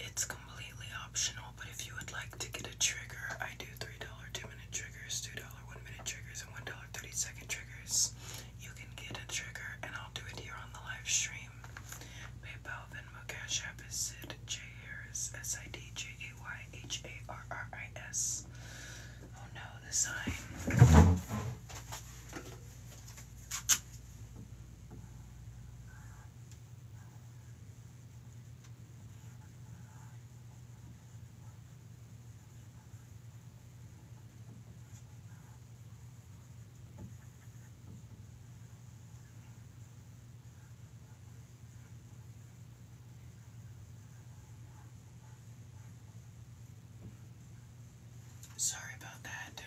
It's completely optional, but if you would like to get a trigger, I do $3 2 minute triggers, $2 1 minute triggers, and $1 30 second triggers. You can get a trigger, and I'll do it here on the live stream. PayPal Venmo Cash App is Sid J Harris S I D J A Y H A R R I S. Oh no, the sign. Sorry about that.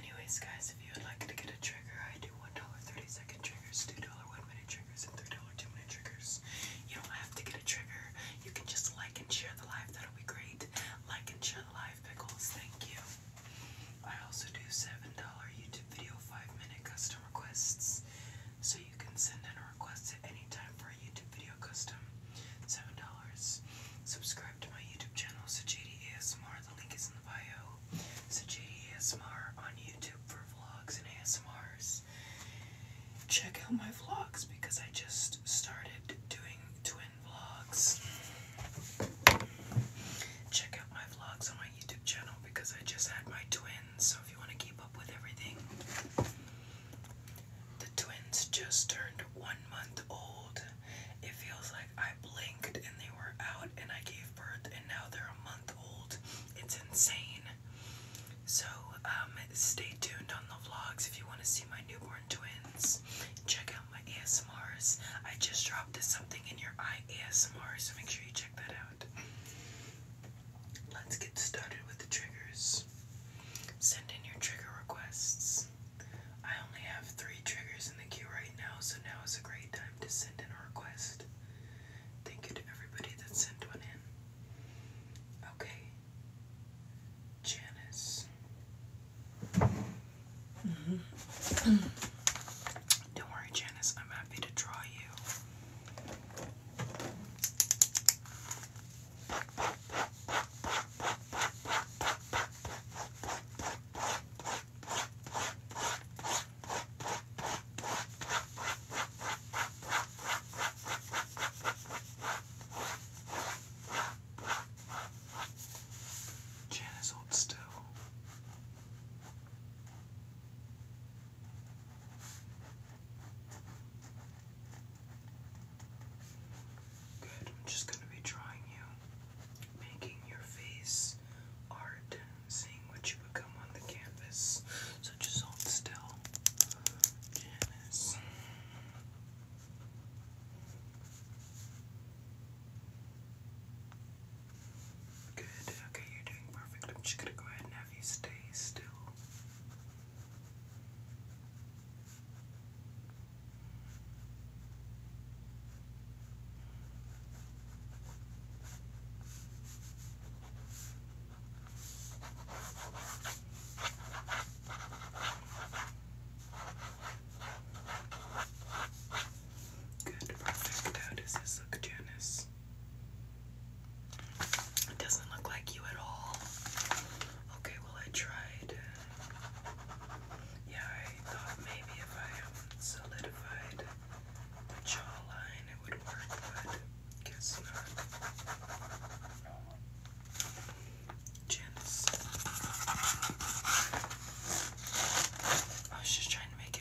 Anyways, guys, if you would like to get a trigger, I do $1.30 second triggers, $2 1 minute triggers, and $3 2 minute triggers. You don't have to get a trigger. You can just like and share the live. That'll be great. Like and share the live, pickles. Thank you. I also do $7 YouTube video 5-minute custom requests, so you can send in a request at any time for a YouTube video custom. $7. Subscribe to my YouTube channel, Sajadi ASMR. The link is in the bio. Sajadi ASMR on YouTube for vlogs and ASMRs. Check out my vlogs because I just started doing twin vlogs. Check out my vlogs on my YouTube channel because I just had my twins, so if you want to keep up with everything. The twins just turned one month old. It feels like I blinked and they were out and I gave birth and now they're a month old. It's insane. So um, stay tuned on the vlogs if you want to see my newborn twins. Check my ASMRs. I just dropped this something in your eye ASMR, so make sure you check that out. Let's get started with the triggers. Send in your trigger requests. I only have three triggers in the queue right now, so now is a great time to send in a request. Thank you to everybody that sent one in. Okay. Janice. Mm-hmm. Don't worry, Janice, I'm happy to draw you. Janice, hold still. Good, I'm just going to be drawing you, making your face art, seeing what you become on the canvas. So just hold still, Janice. Good. Okay, you're doing perfect. I'm just gonna go ahead and have you stay still. Good, perfect. How does this look, Janice? It doesn't look like you at all. Okay, well, I tried. Yeah, I thought maybe if I solidified the jawline it would work, but guess not. Janice. I was just trying to make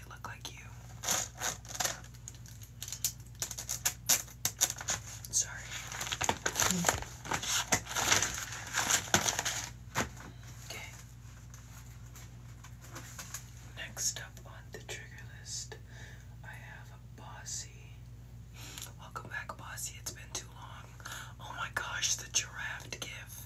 Next up on the trigger list, I have a Bossy. Welcome back, Bossy. It's been too long. Oh my gosh, the giraffe gift.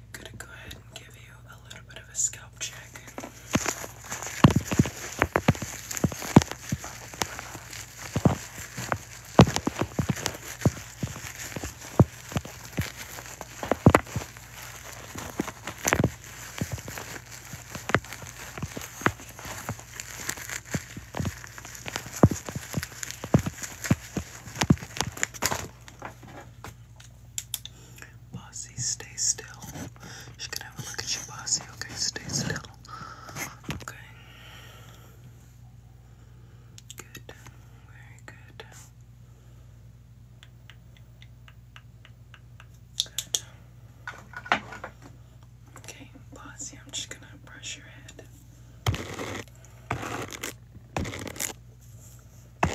I'm gonna go ahead and give you a little bit of a scalp check. Bossy, stay still. She can have a look at you, Bossy. Okay, stay still. Okay. Good. Very Good. Okay, Bossy, I'm just gonna brush your head. Great.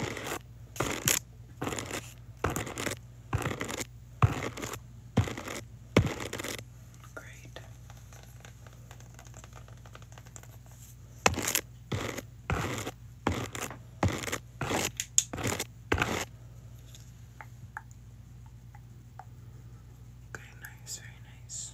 Okay, nice, very nice.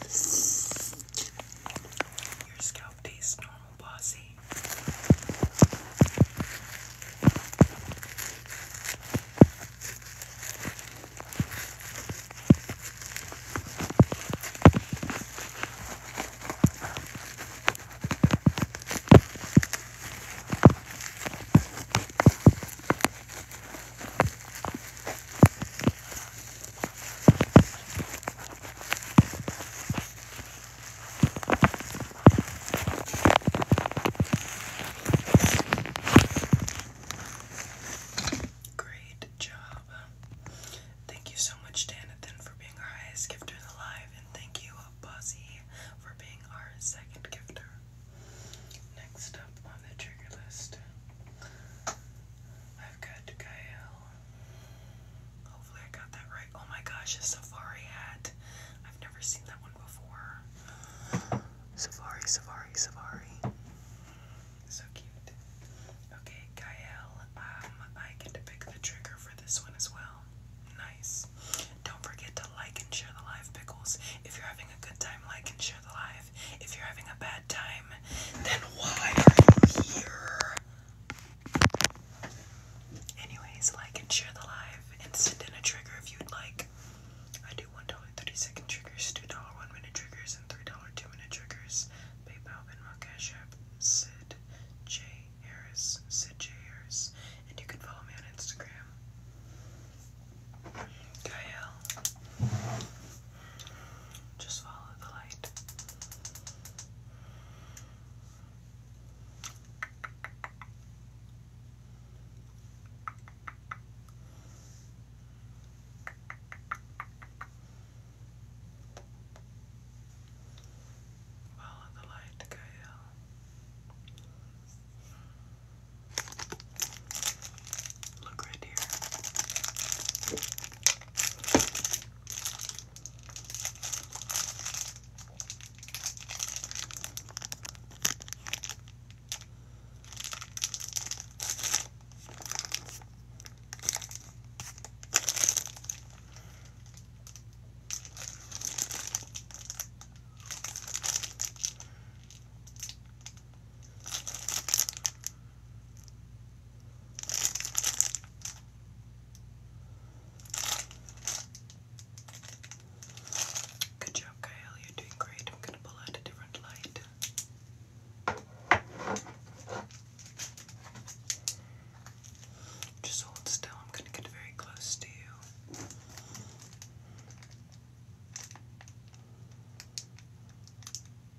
Your scalp tastes normal, bossy. Great job. Thank you so much, Danathan, for being our highest gifter in the live, and thank you, Buzzy, for being our second gifter. Next up on the trigger list. I've got Gael. Hopefully I got that right. Oh my gosh, a safari hat. I've never seen that one before. Safari, safari, safari. So cute. Okay, Gael, um, I get to pick the trigger for this one as well. Nice. Don't forget to like and share the live pickles. If you're having a good time, like and share the live. If you're having a bad time, then why are you here? Anyways, like and share the live and send in a trigger if you'd like. I do $1.30 second triggers, $2 1 minute triggers, and $3 2 minute triggers. PayPal, Venmo, Cash App, Sid J. Harris, Sid J. Harris. And you can follow me on Instagram. Gael. Just follow the light. Follow the light, Gael. Look right here. Good job, Kyle. You're doing great. I'm going to pull out a different light. Just hold still. I'm going to get very close to you.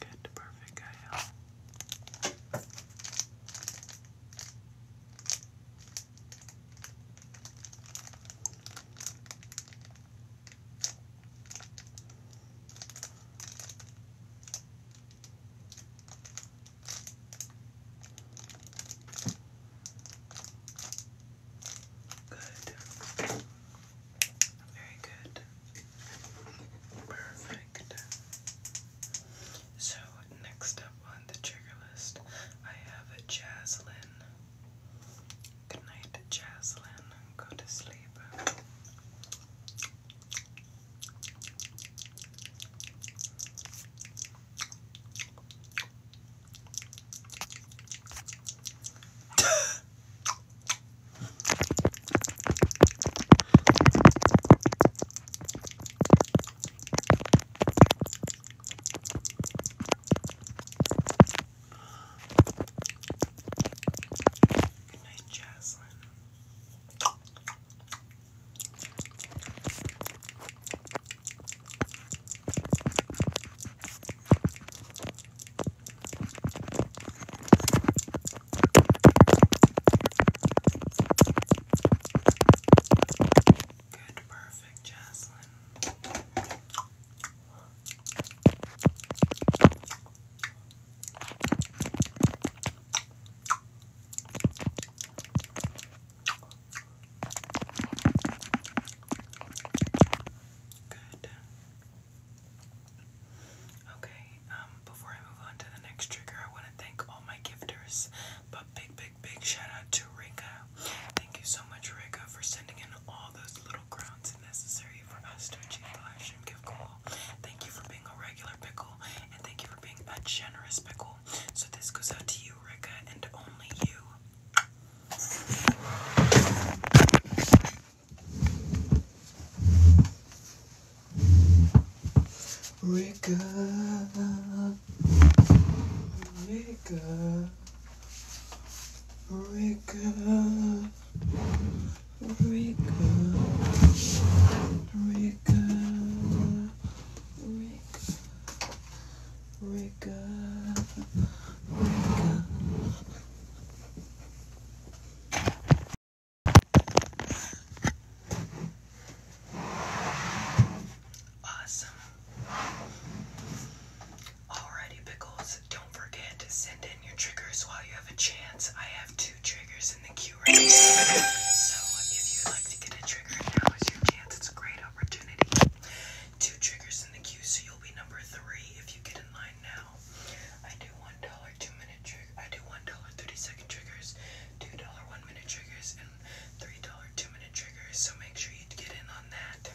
Good, perfect, Gael. Good. Very good. Perfect. So next up on the trigger list, I have Jaslyn. Good night, Jaslyn. Go to sleep. Good night, Jaslyn. Good, perfect, Jaslyn. Good. Okay, um, before I move on to the next trigger, I want to thank all my gifters, but big, big, big shout out to Rika. Thank you so much, Rika, for sending in all those little crowns necessary for us to achieve the last stream gift goal. Thank you for being a regular pickle, and thank you for being a generous pickle. So this goes out to you, Rika, and only you. Wake up, wake up, wake up, wake up, wake up. Wake up, wake up. Awesome. Alrighty, Pickles. Don't forget to send in your triggers while you have a chance. I have two triggers in the queue So if you'd like to get a trigger, now is your chance. It's a great opportunity. Two triggers in the queue, so you'll be number three if you get in line now. I do $1 two minute triggers. I do one dollar thirty second triggers, two dollar one minute triggers, and three dollar two minute triggers. So make sure you get in on that.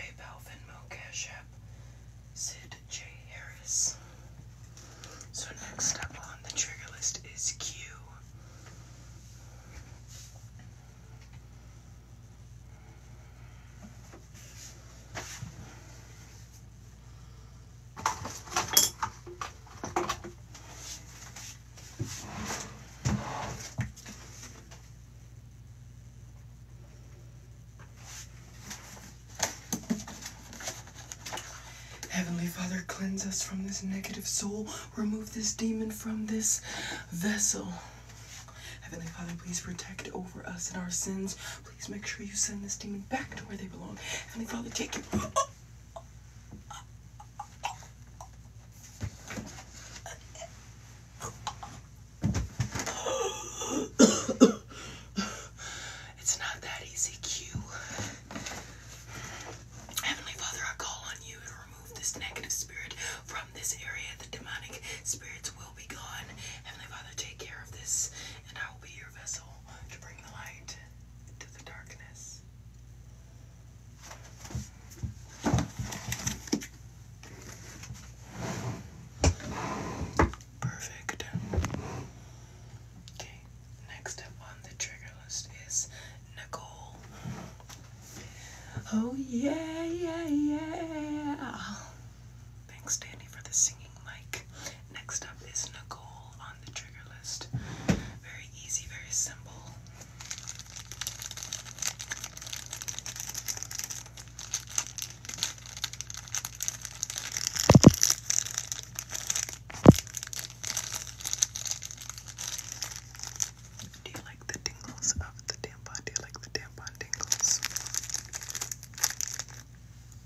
PayPal, Venmo, Cash Sid J Harris. So next up on the trigger list is Q. Heavenly Father, cleanse us from this negative soul. Remove this demon from this vessel. Heavenly Father, please protect over us and our sins. Please make sure you send this demon back to where they belong. Heavenly Father, take him. it's not that easy, Q. Heavenly Father, I call on you to remove this negative spirit from this area. The demonic spirits will be gone. Heavenly Father, take care of this, and I will be your vessel to bring the light into the darkness. Perfect. Okay, next up on the trigger list is Nicole. Oh, yeah, yeah, yeah. Thanks, Danny, for the singing. Next up is Nicole on the trigger list. Very easy, very simple. Do you like the tingles of the tampon? Do you like the tampon tingles?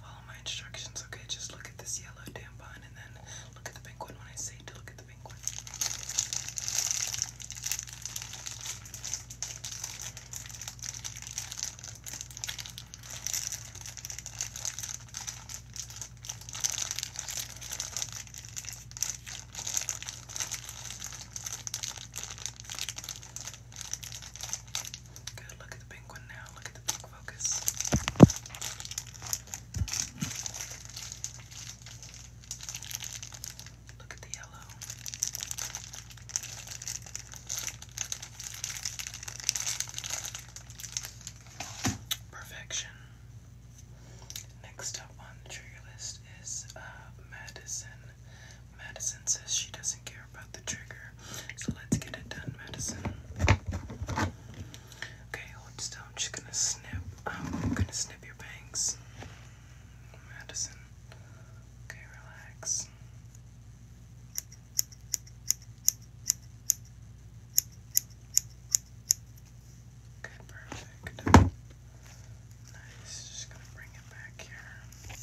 follow my instructions, okay? Just look at this yellow tampon and then look at the pink when I say to look at the pink Good, look at the pink now. Look at the focus. Look at the yellow. Perfection. Next up on the trigger list is uh, Madison. Madison says she doesn't care about the trigger, so let's get it done, Madison. Okay, hold still. I'm just gonna snip. I'm gonna snip your bangs. Madison. Okay, relax. Good, perfect. Nice. Just gonna bring it back here.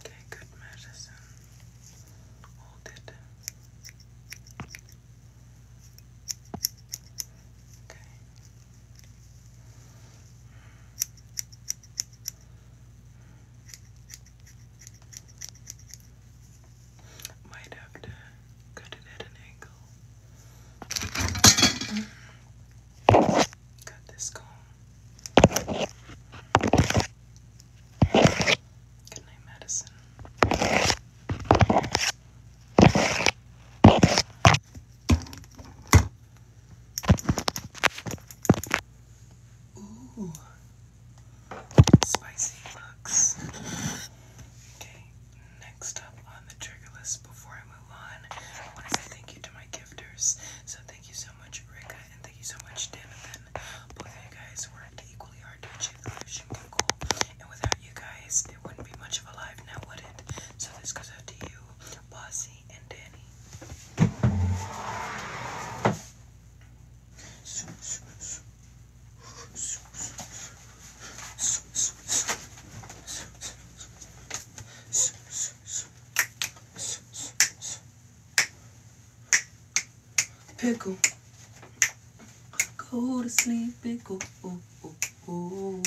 Okay, good medicine. Hold it. Okay. Might have to cut it at an angle. Got this comb. Good night, Ooh, spicy looks. Okay, next up on the trigger list before I move on. I want to say thank you to my gifters. So thank you so much, Rika, and thank you so much, Danathan. Both of you guys worked equally hard to achieve the vision and without you guys, there wouldn't be much of a live now, would it? So this goes out to you, Bossy, and Danny. Pickle. Go to sleep, pickle. Ooh, ooh, ooh.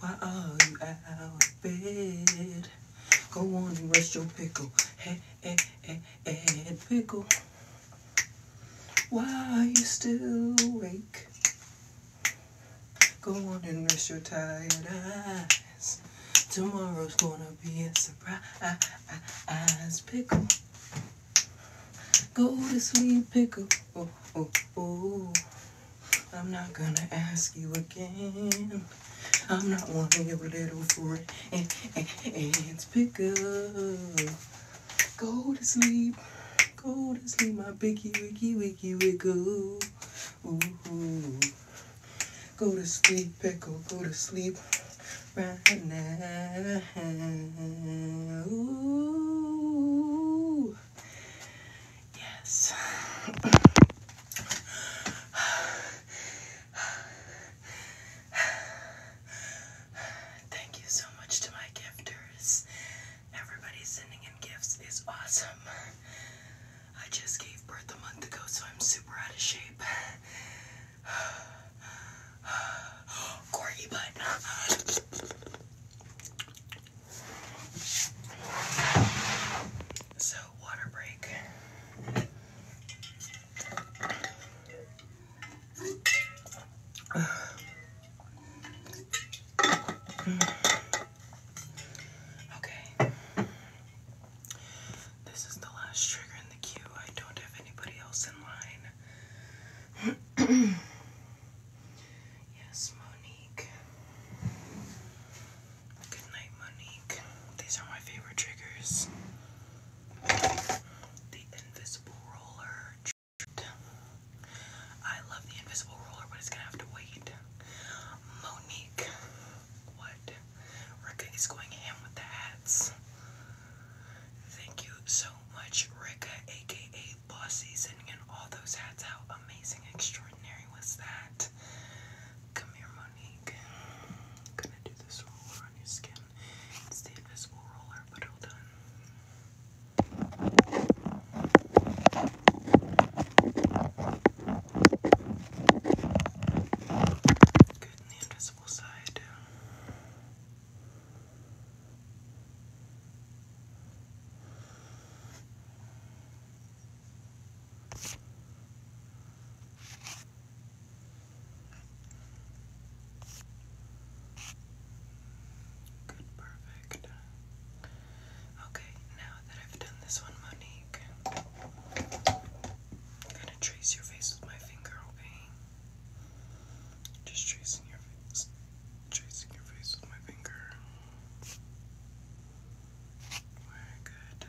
Why are you out of bed? Go on and rest your pickle. Hey, hey, hey, hey, pickle. Why are you still awake? Go on and rest your tired eyes. Tomorrow's gonna be a surprise. Pickle. Go to sleep, pickle. Oh, oh, oh. I'm not gonna ask you again. I'm not one of your little friends. Pickle. Go to sleep go to sleep, my biggie wiggy wiggy wiggle. Ooh, ooh. Go to sleep, pickle, go to sleep right now. Ooh. Yes. Thank you so much to my gifters. Everybody's sending in gifts is awesome. I just gave birth a month ago, so I'm super out of shape. Corgi butt. So, water break. Okay. This is the last trigger in the queue. I don't have anybody else in line. yes, Monique. Good night, Monique. These are my favorite triggers. The invisible roller. I love the invisible ruler, but it's gonna have to wait. Monique, what? Ricka is going ham with the hats. Thank you so much, Ricka, aka Bossy, sending in all those hats. How amazing, extraordinary was that? Come here, Monique. gonna do this roller on your skin. It's the invisible roller, but hold on. Good in the invisible side. Good, perfect. Okay, now that I've done this one, Monique, I'm gonna trace your face with my finger, okay? Just tracing your face, tracing your face with my finger. Very good.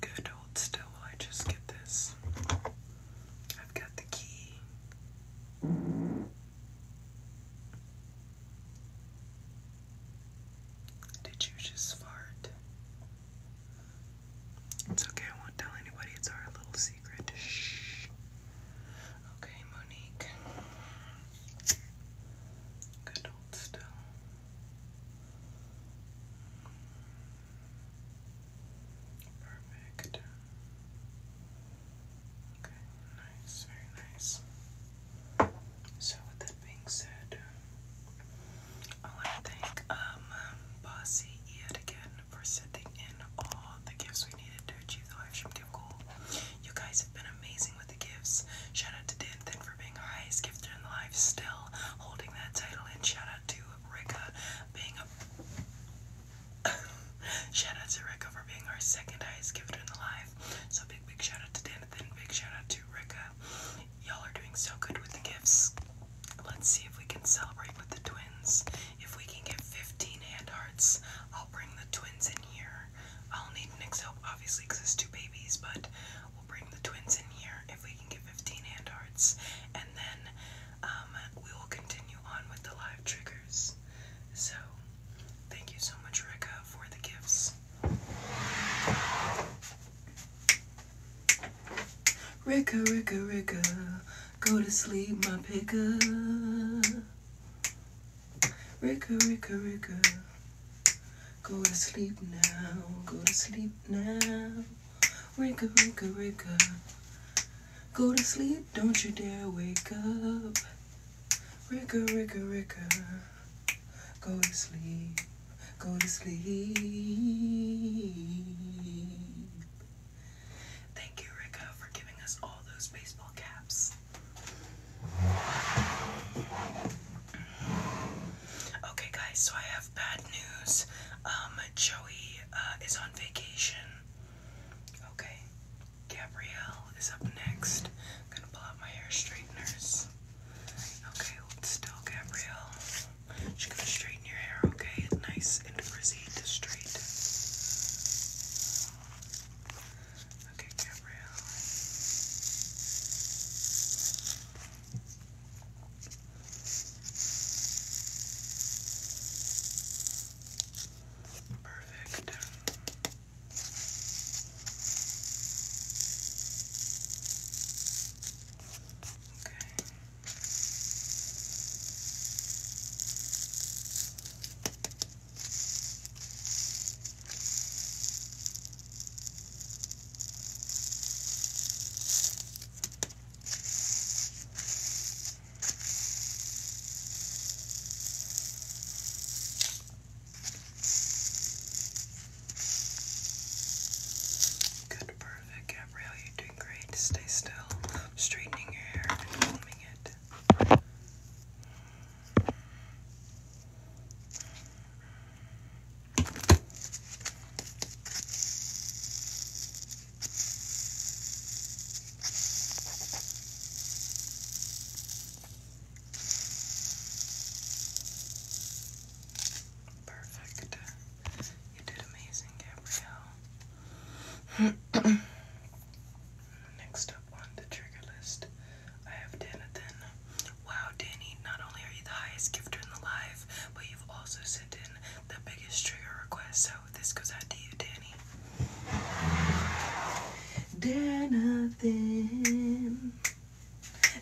Good, hold still I just get this. I've got the key. Did you just fart? It's okay, I won't tell anybody. It's our little secret. Shh. Okay, Monique. Good old still. Perfect. Okay, nice, very nice. So with that being said, I want to thank um, Bossy yet again for sending in all the gifts we needed to achieve the live stream You guys have been amazing with the gifts. Shout out to Danathan for being our highest gifter in the live, still holding that title. And shout out to Rika being a shout out to Rika for being our second highest gifter in the live. So big, big shout out to Danathan. Big shout out to Rika. Y'all are doing so good with the gifts. Let's see if we can celebrate with the twins. If we can get 15 hand hearts, I'll bring the twins in here. I'll need Nick's help, obviously, because there's two babies, but we'll bring the twins in here if we can get 15 hand hearts, and then um, we will continue on with the live triggers. So, thank you so much, Rika, for the gifts. Rika, Rika, Rika, go to sleep, my picka. Ricka, Ricka, Ricka. Go to sleep now, go to sleep now. Ricka, Ricka, Ricka. Go to sleep, don't you dare wake up. Ricka, Ricka, Ricka. Go to sleep, go to sleep. Thank you, Ricka, for giving us all those baseball caps. Okay, guys, so I have bad news. Um, Joey uh, is on vacation. Okay, Gabrielle is up next. I'm gonna pull out my hair straighteners. Okay, hold still, Gabrielle. She's gonna straighten your hair, okay? Nice and frizzy to straight. Okay, Gabrielle. Perfect. Okay. Okay, Good, perfect, Gabrielle. You're doing great. Stay still. Straightening your hair and combing it. Perfect. You did amazing, Gabrielle. Next up on the trigger list I have Danathan. Wow, Danny, not only are you the highest gifter in the live, but you've also sent in the biggest trigger request, so this goes out to you, Danny. Danathan.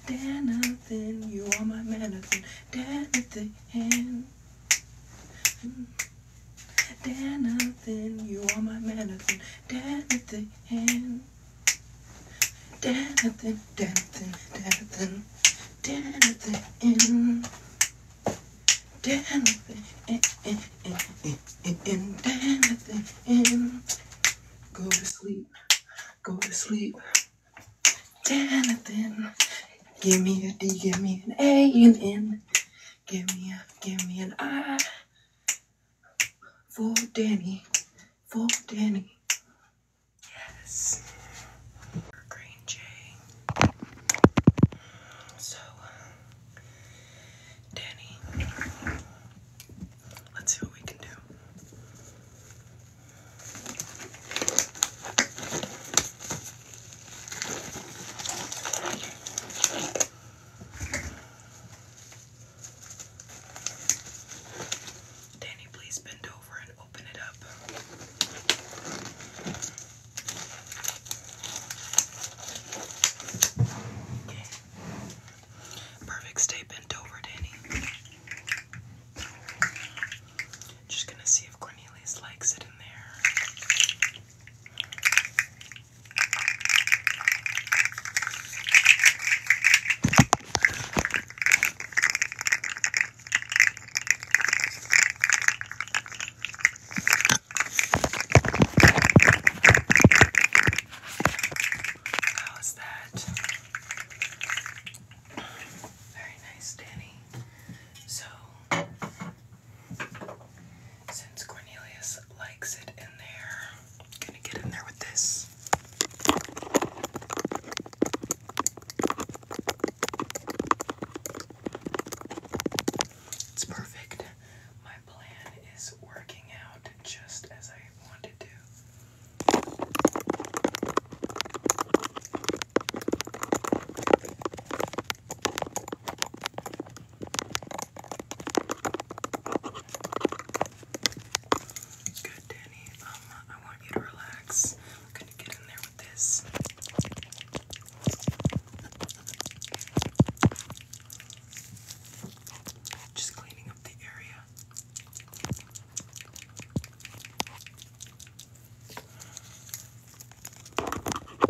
Danathan, you are my manathan. Danathan. Danathan, you are my manathan. Danathan. Dancing, dancing, dancing, dancing in. Dancing in, in, in, in, in, in, dancing in. Go to sleep, go to sleep. Dancing. Give me a D, give me an A and N. Give me a, give me an I. For Danny for Danny. Yes. Green Jay. So, Danny, let's see what we can do. Danny, please bend over and open it up. Perfect. Stay bent over, Danny. Just gonna see if Cornelius likes it in there. How's that? Very nice, Danny. So, since Cornelius likes it in there, Gonna get in there with this. It's perfect. My plan is working out just as I wanted to. Good, Danny. Um, I want you to relax. I'm gonna get in there with this. Just cleaning up the area. Okay.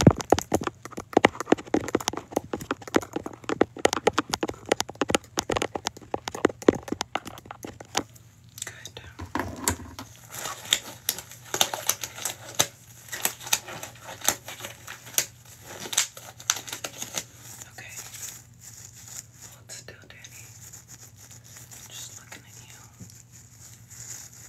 Good. Okay. Hold still, Danny. Just looking at you. Okay.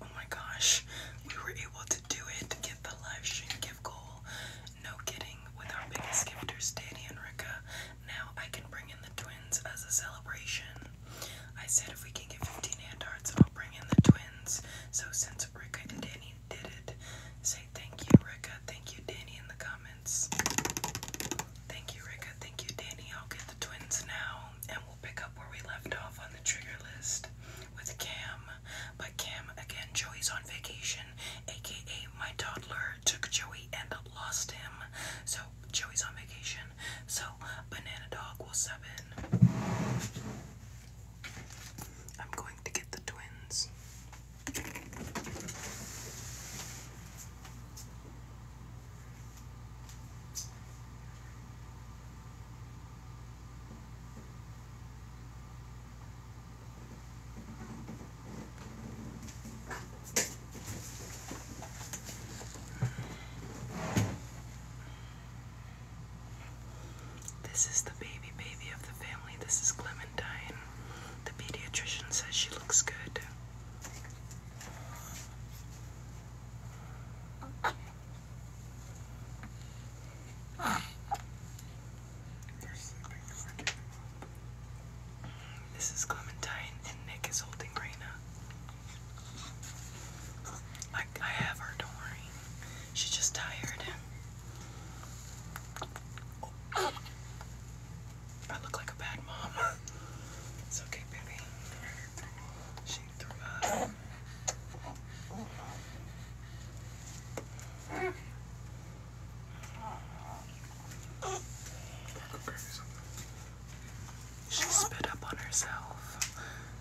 Oh my gosh, we were able to do it to get the live stream gift goal. No kidding, with our biggest gifters, Danny and Rika. Now I can bring in the twins as a celebration. I said if we can get 15 hand hearts, I'll bring in the twins. So since Rika and Danny did it, say thank you, Rika. Thank you, Danny, in the comments. Thank you, Rika. Thank you, Danny. I'll get the twins now, and we'll pick up where we left off on the trigger list with Cam. But Cam, again, Joey's on vacation, aka my toddler took Joey and lost him. So Joey's on vacation. So Banana Dog will sub it. I'm going to get the twins. This is the baby baby of the family. This is Clementine. The pediatrician says she looks good. This is Clementine and Nick is holding Raina. I, I have her, don't worry. She's just tired. I look like a bad mom. It's okay, baby. She threw up. She spit up on herself.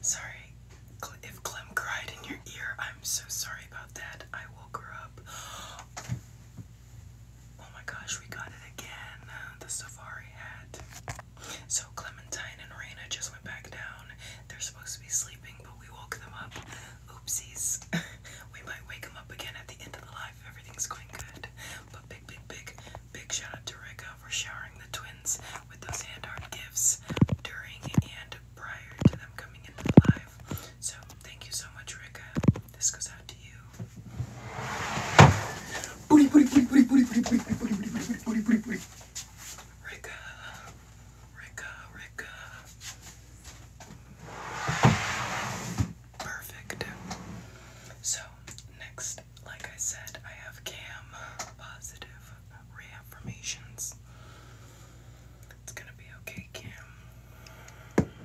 Sorry, if Clem cried in your ear, I'm so sorry about that. I woke her up. Oh my gosh, we got it again. The safari hat. So Clementine and Raina just went back down. They're supposed to be sleeping, but we woke them up. Oopsies. we might wake them up again at the end of the live everything's going good. But big, big, big, big shout out to Rika for showering the twins with those hand art gifts during and prior to them coming into the live. So thank you so much, Rika. This goes out to you. Rika, Rika, Rika. Perfect. So, next, like I said, I have Cam Positive reaffirmations. It's gonna be okay, Kim.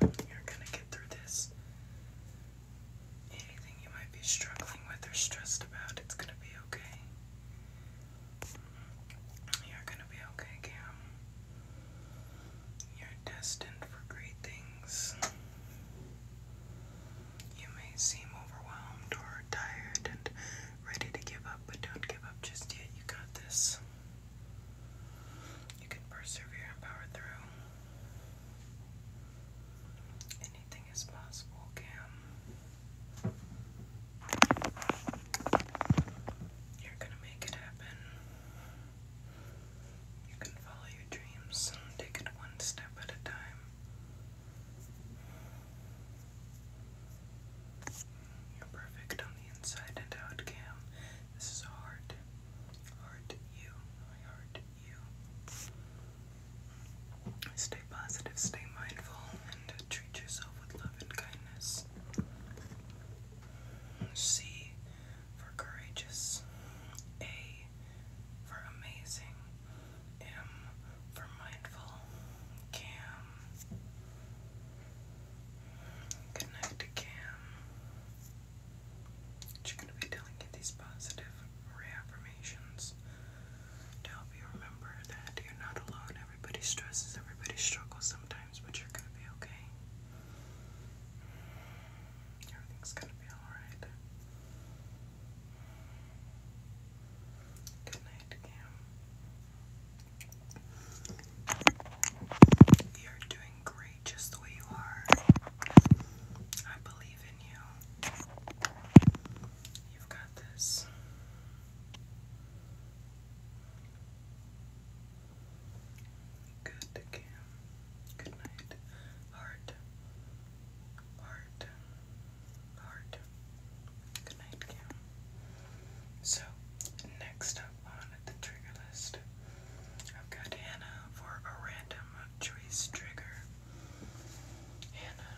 You're gonna get through this. Anything you might be struggling with or stressed about, it's gonna be okay. You're gonna be okay, Kim. You're destined for great things. You may seem overwhelmed or tired and ready to give up, but don't give up just yet. You got this. You can persevere and power through. Anything is possible, Cam. You're gonna make it happen. You can follow your dreams and take it one step at a time. You're perfect on the inside and out, Cam. This is hard. Hard you. I heart you. Stay positive, stay mindful, and treat yourself with love and kindness. C for courageous. A for amazing. M for mindful. Cam. Good night, Cam. She's going to be telling you these positive reaffirmations to help you remember that you're not alone. Everybody stresses, everybody struggles sometimes, but you're going to be okay. Everything's going to be alright. Good night, Cam. You're doing great just the way you are. I believe in you. You've got this. Good, Cam. Good night. Heart. Heart. Good night, Kim. So, next up on the trigger list, I've got Hannah for a random choice trigger. Hannah.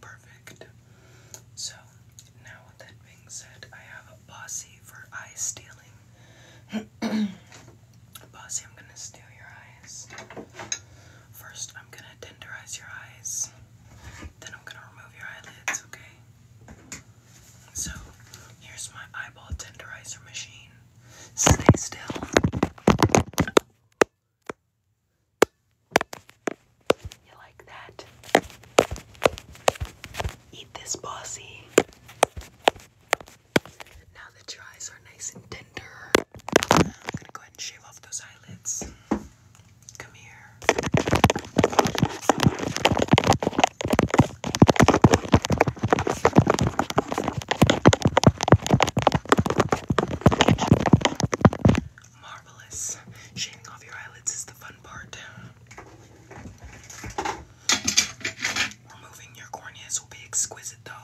Perfect. So, now with that being said, I have a bossy for eye stealing. Bossy, I'm gonna steal your eyes. First, I'm gonna tenderize your eyes. Then I'm gonna remove your eyelids, okay? So, here's my eyeball tenderizer machine. Stay still. You like that? Eat this, bossy. Now that your eyes are nice and tender, I'm gonna go ahead and shave off those eyelids. Come here. Marvelous. Shaving off your eyelids is the fun part. Removing your corneas will be exquisite, though.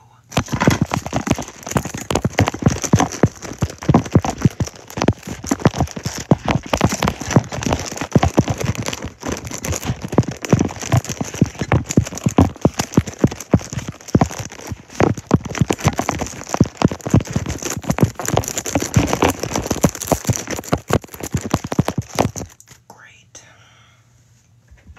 Great.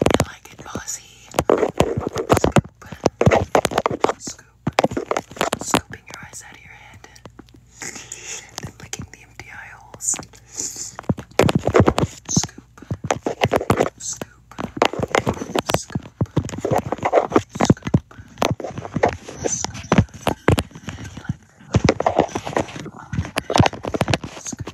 I like it bossy. Scoop. Scoop. Scooping your eyes out of your head. Then licking the empty eye Scoop. Scoop. Scoop. Scoop. Scoop. Scoop.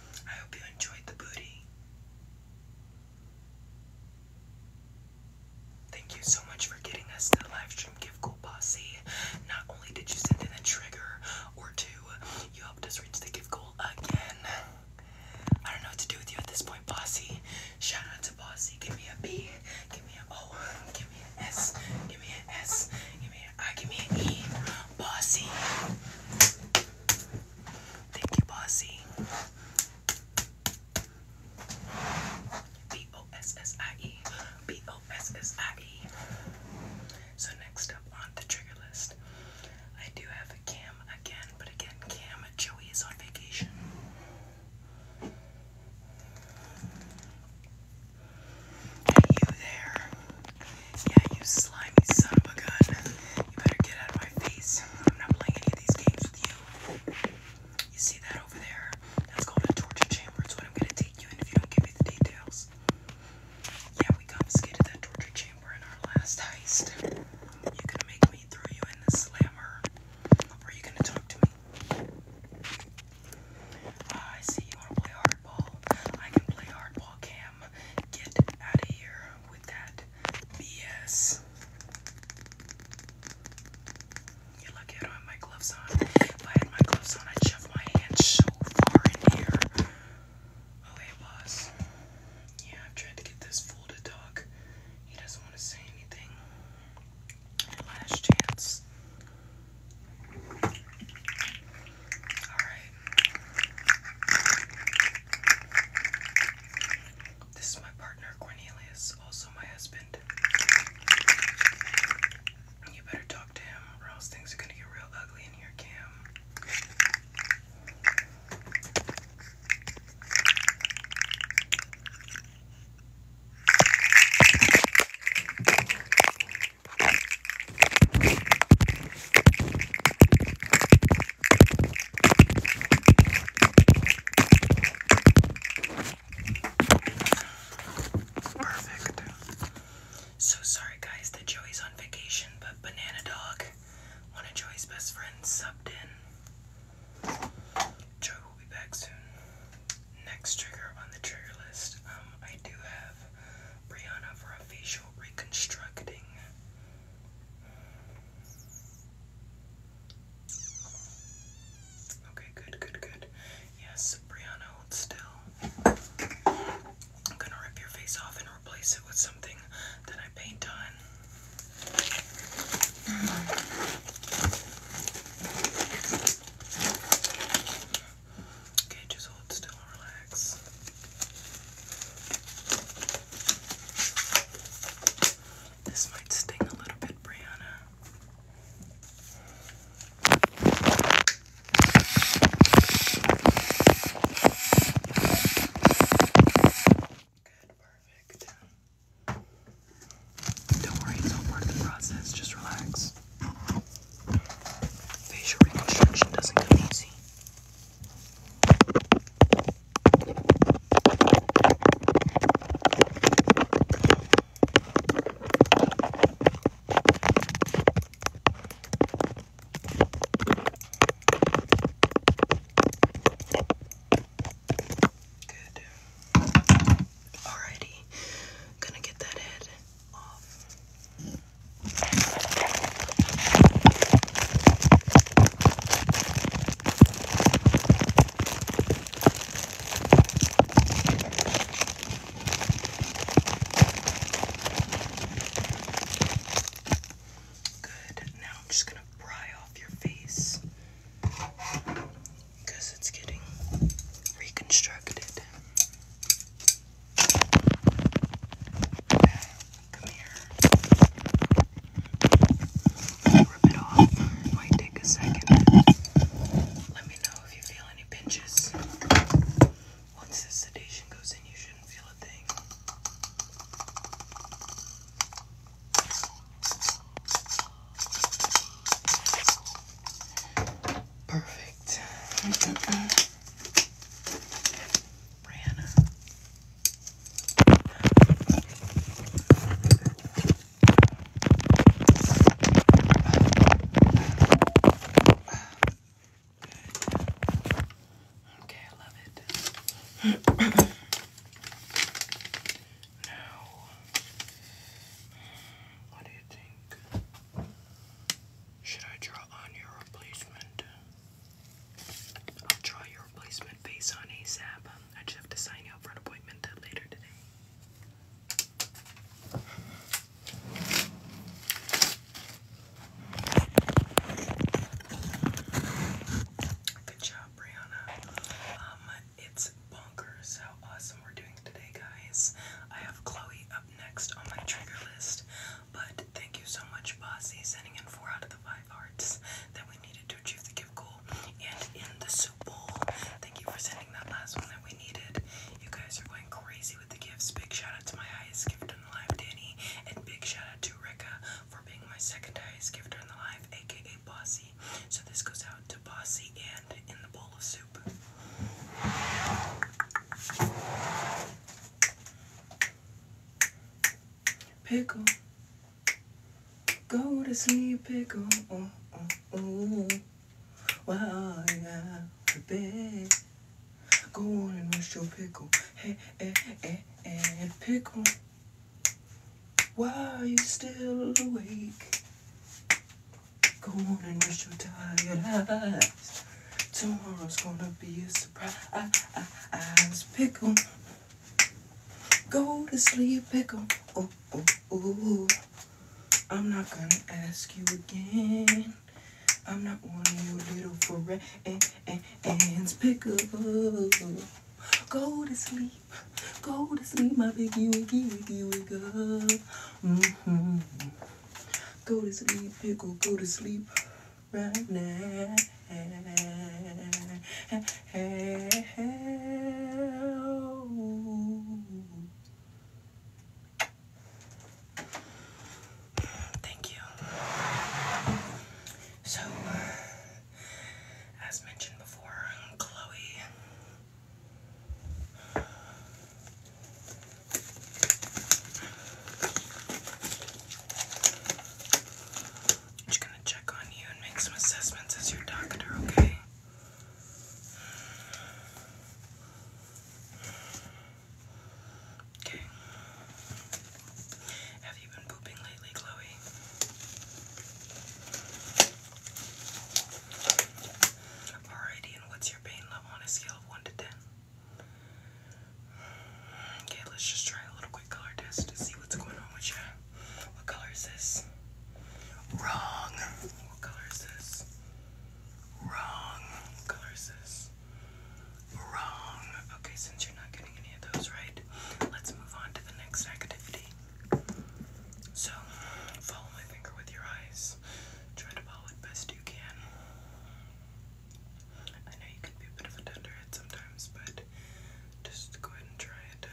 I hope you enjoyed the booty. Thank you so much for getting us to the live stream Give Gold Posse. Not only did you send in a trigger or two, you helped us reach the Give Goal again. I don't know what to do with you at this point, Bossy. Shout out to Bossy. Give me a B. Give me an O. Give me an S. Give me an S. Give me I give me an E. Bossy. Thank you, Bossy. B O S S I E. B O S S I E. So, next up on the trigger list, I do have Cam again, but again, Cam Joey is on vacation. Hey, you there. Yeah, you slimy son of a gun. You better get out of my face. I'm not playing any of these games with you. You see that over there? That's called a torture chamber. It's what I'm gonna take you in if you don't give me the details. Yeah, we confiscated that torture chamber in our last heist. You can make me throw you in the slammer. Or are you gonna talk to me? Ah, I see you wanna play hard hardball. I can play hardball, Cam. Get out of here with that BS. You're lucky I don't have my gloves on. If I had my gloves on, I'd shove my hand so far in here. Okay, oh, boss. Yeah, I've tried to get this fool to talk. He doesn't want to say anything. Last chance. This is my partner Cornelius, also my husband. You better talk to him, or else things are gonna get real ugly in here, Cam. Perfect. So sorry, guys, that Joey's on vacation, but Banana Dog, one of Joey's best friends, subbed in. Joey will be back soon. Next trigger on the trigger list. Um, I do have Brianna for a facial reconstructing. Okay, good, good, good. Yes, Brianna, still. I'm gonna rip your face off and replace it with something that I paint on. Okay, just hold still and relax. This might sting a little bit, Brianna. Good, perfect. Don't worry, it's all part of the process. Just relax. Facial reconstruction doesn't come easy. Good. Alrighty. Gonna get that head Good. Now I'm just going to pry off your face because it's getting reconstructed. Come here. Rub it off. It might take a second. Let me know if you feel any pinches. Once the sedation goes in, you shouldn't feel a thing. Perfect. Mm -mm -mm. Brianna. Okay, I love it. now, what do you think? Should I draw on your replacement? I'll draw your replacement face on ASAP. Um, I just have to sign you up for an appointment later today. Good job, Brianna. Um, it's bonkers how awesome we're doing today, guys. I have Chloe next on my trigger list. But thank you so much, Bossy, sending in four out of the five hearts that we needed to achieve the gift goal. And in the soup bowl, thank you for sending that last one that we needed. You guys are going crazy with the gifts. Big shout out to my highest gift in the live, Danny, and big shout out to Rika for being my second highest gifter in the live, aka Bossy. So this goes out to Bossy and in the bowl of soup. Pickle. Go to sleep, pickle. Oh, oh, oh. While you're out of bed. Go on and rest your pickle. Hey, hey, eh, eh, hey, eh, hey, pickle. are you still awake. Go on and rest your tired eyes. Tomorrow's gonna be a I, I, I was pickle. Go to sleep, pickle. Oh, oh, oh. I'm not gonna ask you again. I'm not one of your little friends, pickle. Go to sleep. Go to sleep, my piggy wiggy wiggy wiggle. Mm-hmm. Go to sleep, pickle. Go to sleep right now. Thank you. So, as mentioned before, Chloe I'm just gonna check on you and make some assessments as your doctor, okay? Okay. Have you been pooping lately, Chloe? Alrighty, and what's your pain level on a scale of 1 to 10? Okay, let's just try a little quick color test to see what's going on with you. What color is this? Wrong. What color is this? Wrong. What color is this? Wrong. Okay, since you're not getting any of those right, let's move on to the next activity. So, follow my finger with your eyes. Try to follow it best you can. I know you can be a bit of a dunderhead sometimes, but just go ahead and try it.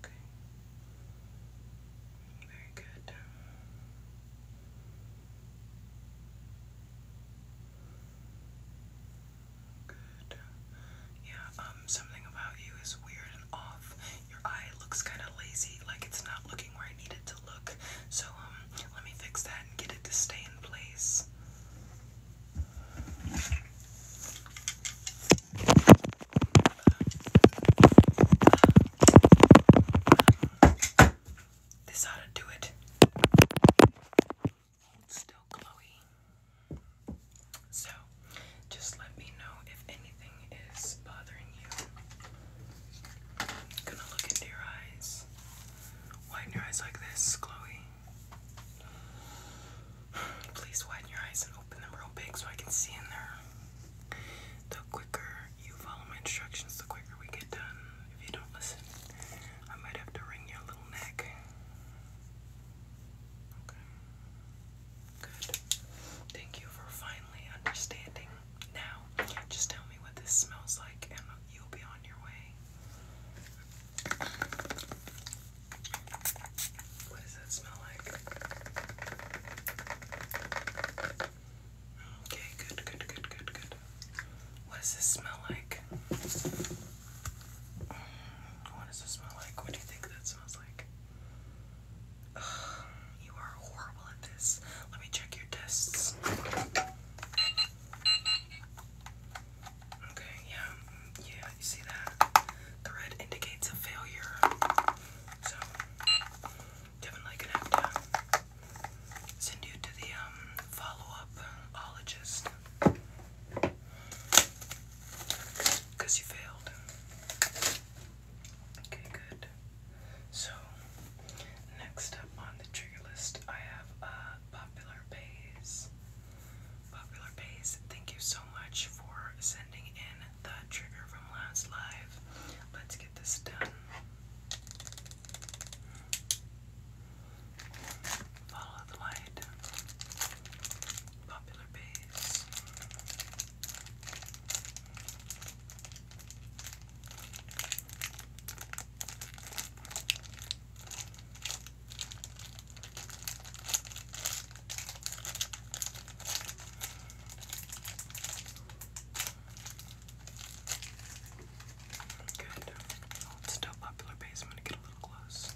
Okay. Very good. Good. Yeah, um, something about you is weird and off. Your eye looks kind of lazy, like it's not looking where I need it to so, um, let me fix that and get it to stay in place. This ought to do it. So, just let me know if anything is bothering you. Gonna look into your eyes. Widen your eyes like this, Chloe. Please widen your eyes and open them real big so I can see in there. The quicker you follow my instructions, the quicker we get done. If you don't listen, I might have to wring your little neck. Okay. Good. Thank you for finally understanding now, just tell me what this smells like, and you'll be on your way. What does that smell like? Okay, good, good, good, good, good. What does this smell like? Mm, what does this smell like? What do you think that smells like? you are horrible at this. Let me check your tests. Okay, yeah, yeah, you see that? The red indicates a failure. So, definitely going send you to the um, follow up ologist. Because you failed. Okay, good. So, next up on the trigger list, I have Popular Pays. Popular Pays, thank you so much for sending in the trigger from last live. Let's get this done. Follow the light. Popular Pays. Good. Well, still popular base. get a little close.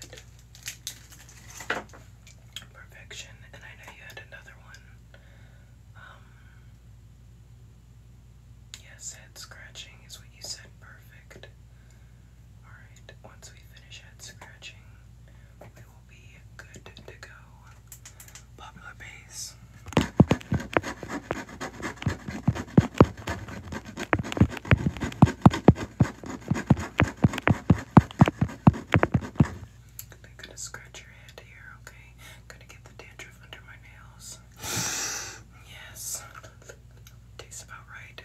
Good. Perfection. And I know you had another one. Um, yes, head scratching is what you said. Perfect. Alright, once we finish head scratching, we will be good to go. Popular base. I'm gonna scratch your head here, okay? Gonna get the dandruff under my nails. yes. Tastes about right. How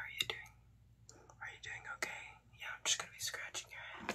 are you doing? Are you doing okay? Yeah, I'm just gonna be scratching your head.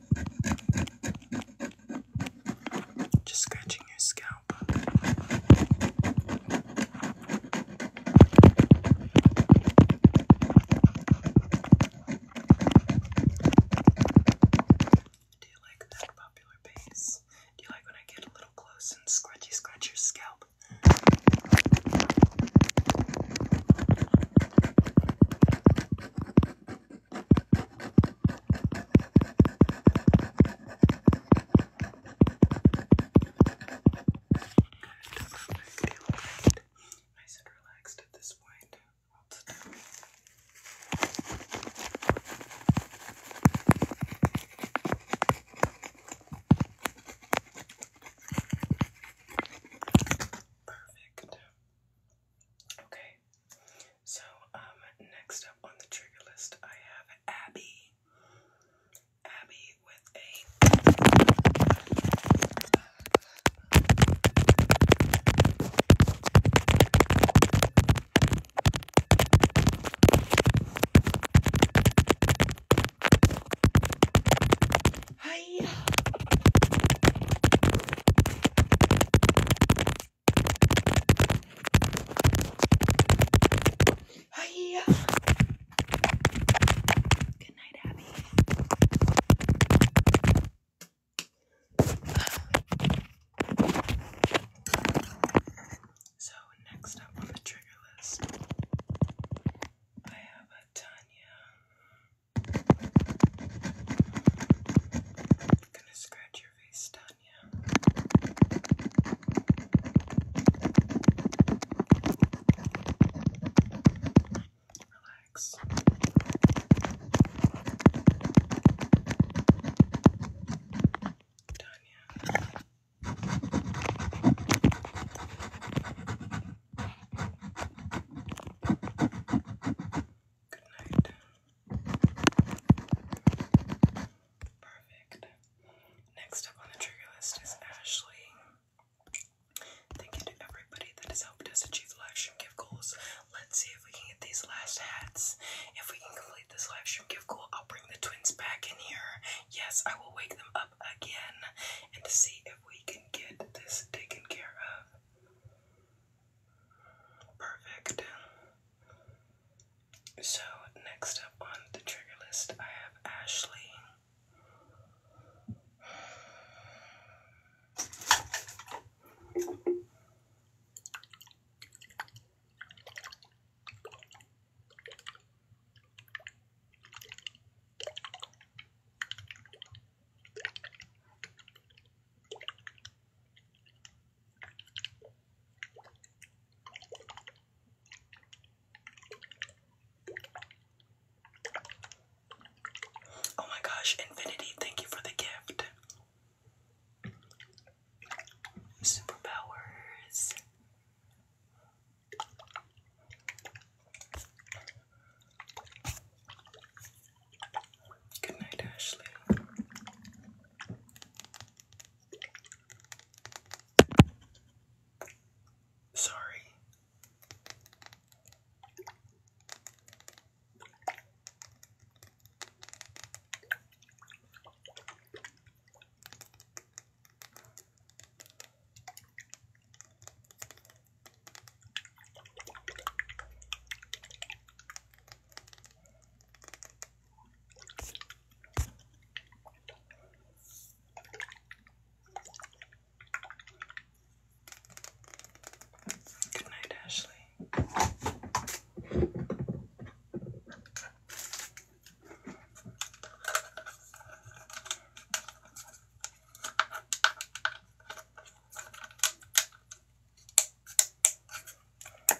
Just scratching your scalp. Do you like that popular bass? Do you like when I get a little close and scratchy scratch your scalp? Nice and relaxed at this point. Perfect. Okay, so, um, next up on the trigger list, I have Abby. Abby with a. Hi. Hiya. Good night, Abby. So next up on the trigger list, I have Tanya. I'm gonna scratch your face, yeah. Relax. Tanya. Good night. Perfect. Next up on the trigger list is Ashley. Thank you to everybody that has helped us achieve live stream gift goals. Let's see if we can get these last hats. If we can complete this live stream gift goal, I'll bring the twins back in here. Yes, I will wake them up again and see if we can get this taken care of. Perfect. So, next up on the trigger list, I have Ashley. Oh my gosh, Infinity, thank you for the gift. Superpowers. Good night, Ashley. Sorry. Good night, Ashley.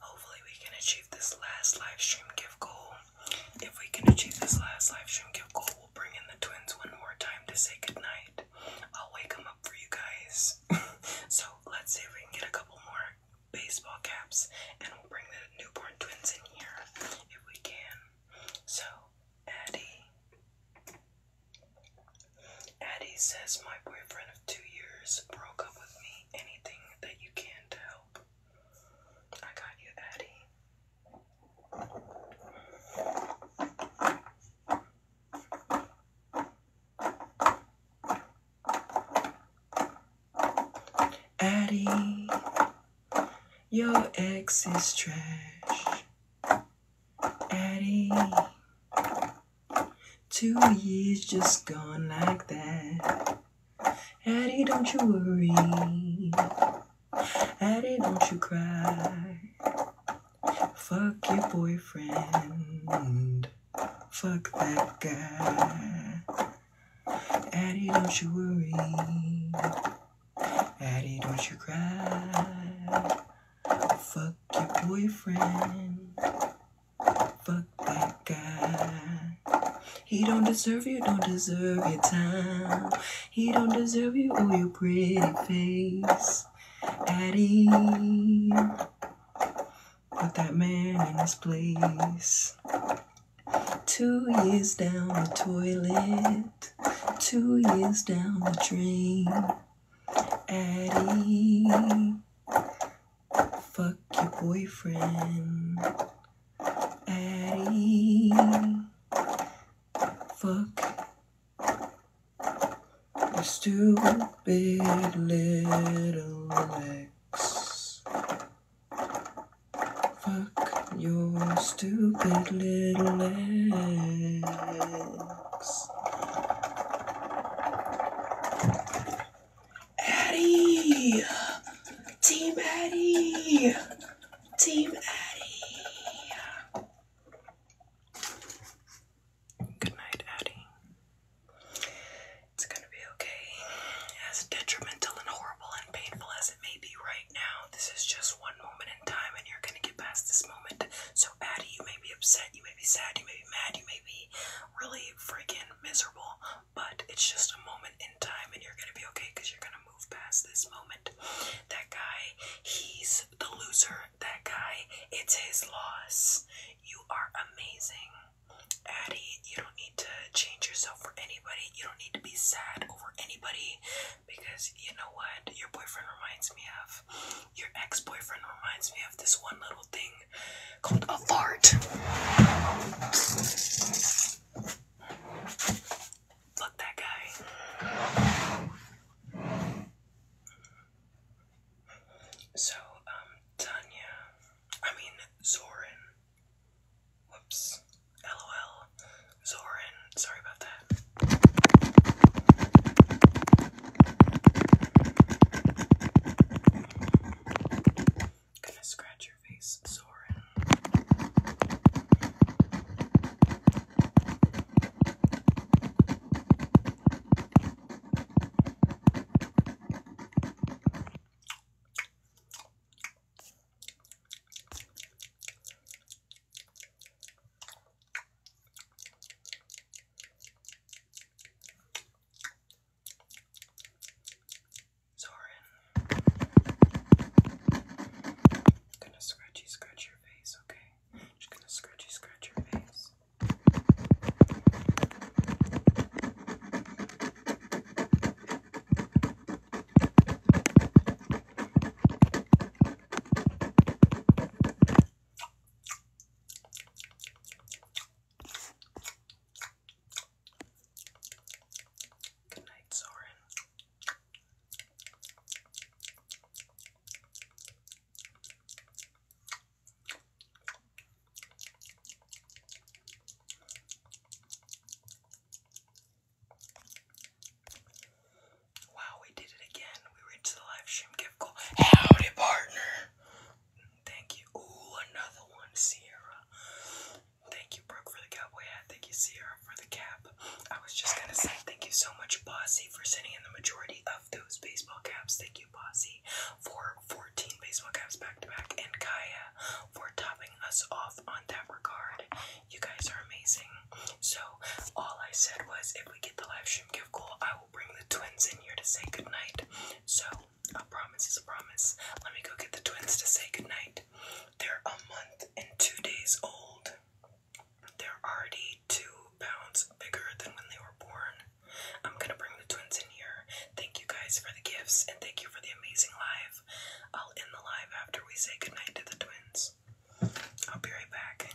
Hopefully, we can achieve this last live stream gift goal. If we can achieve this last live stream gift goal, we'll bring in the twins one more time to say goodnight. I'll wake them up for you guys. so, let's see if we can get a couple more baseball caps and we'll bring the newborn twins in here if we can. So, Addie, Addie says my boyfriend of two years broke up with me. Anything that you can not help. I got you, Addie. Addie, your ex is trash. Eddie. Two years just gone like that. Eddie, don't you worry. Eddie, don't you cry. Fuck your boyfriend. Fuck that guy. Eddie, don't you worry. Eddie, don't you cry. Fuck your boyfriend. Fuck that guy. He don't deserve you, don't deserve your time. He don't deserve you or your pretty face. Addie, put that man in his place. Two years down the toilet, two years down the drain. Addie, fuck your boyfriend. Addie, fuck your stupid little ex. Fuck your stupid little ex. Addie! Team Addie! Team Addie! Good night, Addie. It's gonna be okay. As detrimental and horrible and painful as it may be right now, this is just one moment in time, and you're gonna get past this moment. So so You may be upset, you may be sad, you may be mad, you may be really freaking miserable, but it's just a moment in time and you're gonna be okay because you're gonna move past this moment. That guy, he's the loser. That guy, it's his loss. You are amazing. Addie, you don't need to change yourself for anybody. You don't need to be sad over anybody because you know what your boyfriend reminds me of? Your ex boyfriend reminds me of this one little thing called a fart. Look, that guy. So, um, Tanya, I mean, Zoran. Whoops. LOL. Zoran. Sorry about that. Gonna scratch your face, Soren. Zoran, I'm gonna scratchy scratch your face, okay? I'm just gonna scratchy scratch your face. Good night, Soren. Wow, we did it again. We reached the live stream gift goal. Howdy, partner. Thank you. Ooh, another one, Sierra. Thank you, Brooke, for the cowboy hat. Thank you, Sierra, for the cap. I was just gonna say thank you so much, Bossy, for sending in the majority of those baseball caps. Thank you, Bossy, for 14 baseball caps back to back, and Kaya for topping us off on that regard. You guys are amazing. So all I said was if we get the live stream gift goal, I will bring the twins in here to say goodnight. So a promise is a promise. Let me go get the twins to say goodnight. They're a month and two days old. They're already two pounds bigger than when they were born. I'm gonna bring the twins in here. Thank you guys for the gifts and thank you for the amazing live. I'll end the live after we say goodnight to the twins. I'll be right back.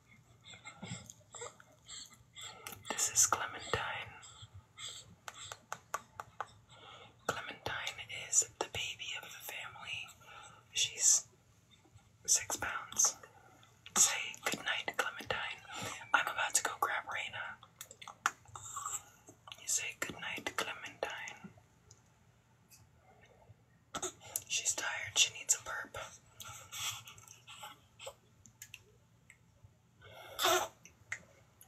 This is Clementine. Clementine is the baby of the family. She's six pounds. Say goodnight, Clementine. I'm about to go grab Raina. You say goodnight, Clementine. She's tired. She needs a burp.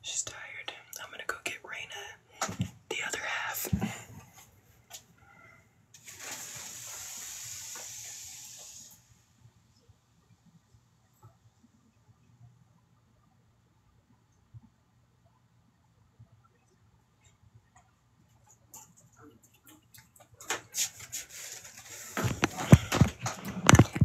She's tired. I'm gonna go get Raina the other half.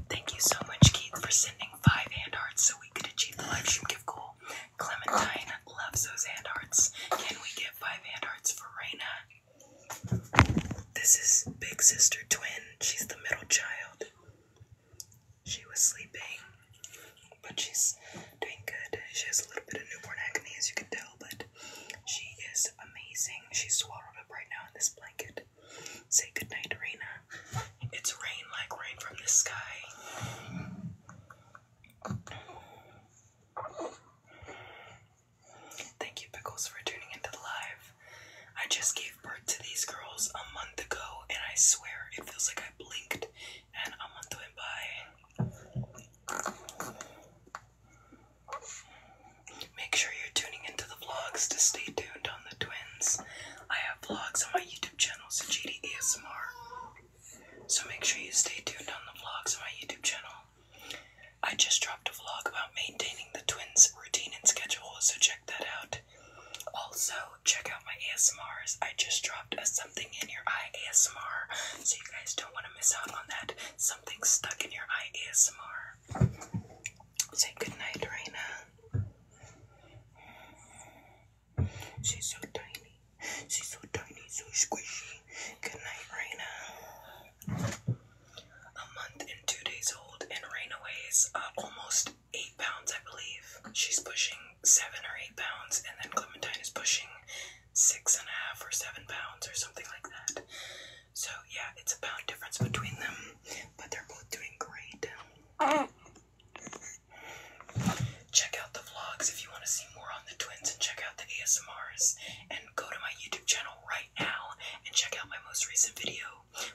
Thank you so much, Keith, for sending five hand hearts so we could achieve the live stream gift goal. Clementine loves those hand hearts. Can we get five hand hearts for Raina? This is Big Sister Twin. She's the middle child. She was sleeping, but she's doing good. She has a little bit of newborn acne, as you can tell, but she is amazing. She's swallowed up right now in this blanket. Say goodnight, Raina. It's rain like rain from the sky. Thank you, Pickles, for tuning into live. I just gave birth to these girls a month ago, and I swear it feels like I blinked and a month went by. Make sure you're tuning into the vlogs to stay tuned on the twins. I have vlogs on my YouTube channel, Sajidi ASMR. So make sure you stay tuned on the vlogs on my YouTube channel. I just dropped a vlog about maintaining the twins' routine and schedule, so check that out. Also, check out my ASMRs. I just dropped a something in your eye ASMR, so you guys don't want to miss out on that something stuck in your eye ASMR. Say goodnight, Raina. She's so tiny. She's so tiny, so squishy. Goodnight, Raina. A month and two days old, and Raina weighs uh, almost eight pounds, I believe. She's pushing seven or eight pounds, and then Clementine is pushing six and a half or seven pounds or something like that. So yeah, it's a pound difference between them, but they're both doing great. Check out the vlogs if you want to see more on the twins and check out the ASMRs and go to my YouTube channel right now and check out my most recent video.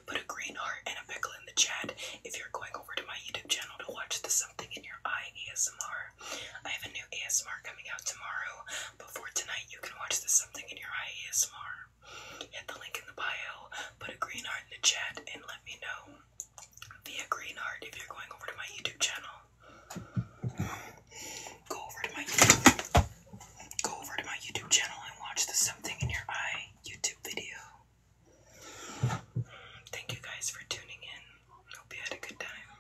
Put a green heart and a pickle in the chat if you're going over to my YouTube channel to watch the Something in Your Eye ASMR. I have a new ASMR coming out tomorrow, for tonight, you can watch the Something in Your Eye ASMR. Hit the link in the bio, put a green heart in the chat, and let me know via green heart if you're going over to my YouTube channel. Go over to my go over to my YouTube channel and watch the Something in Your Eye YouTube video. Thank you guys for tuning in. Hope you had a good time.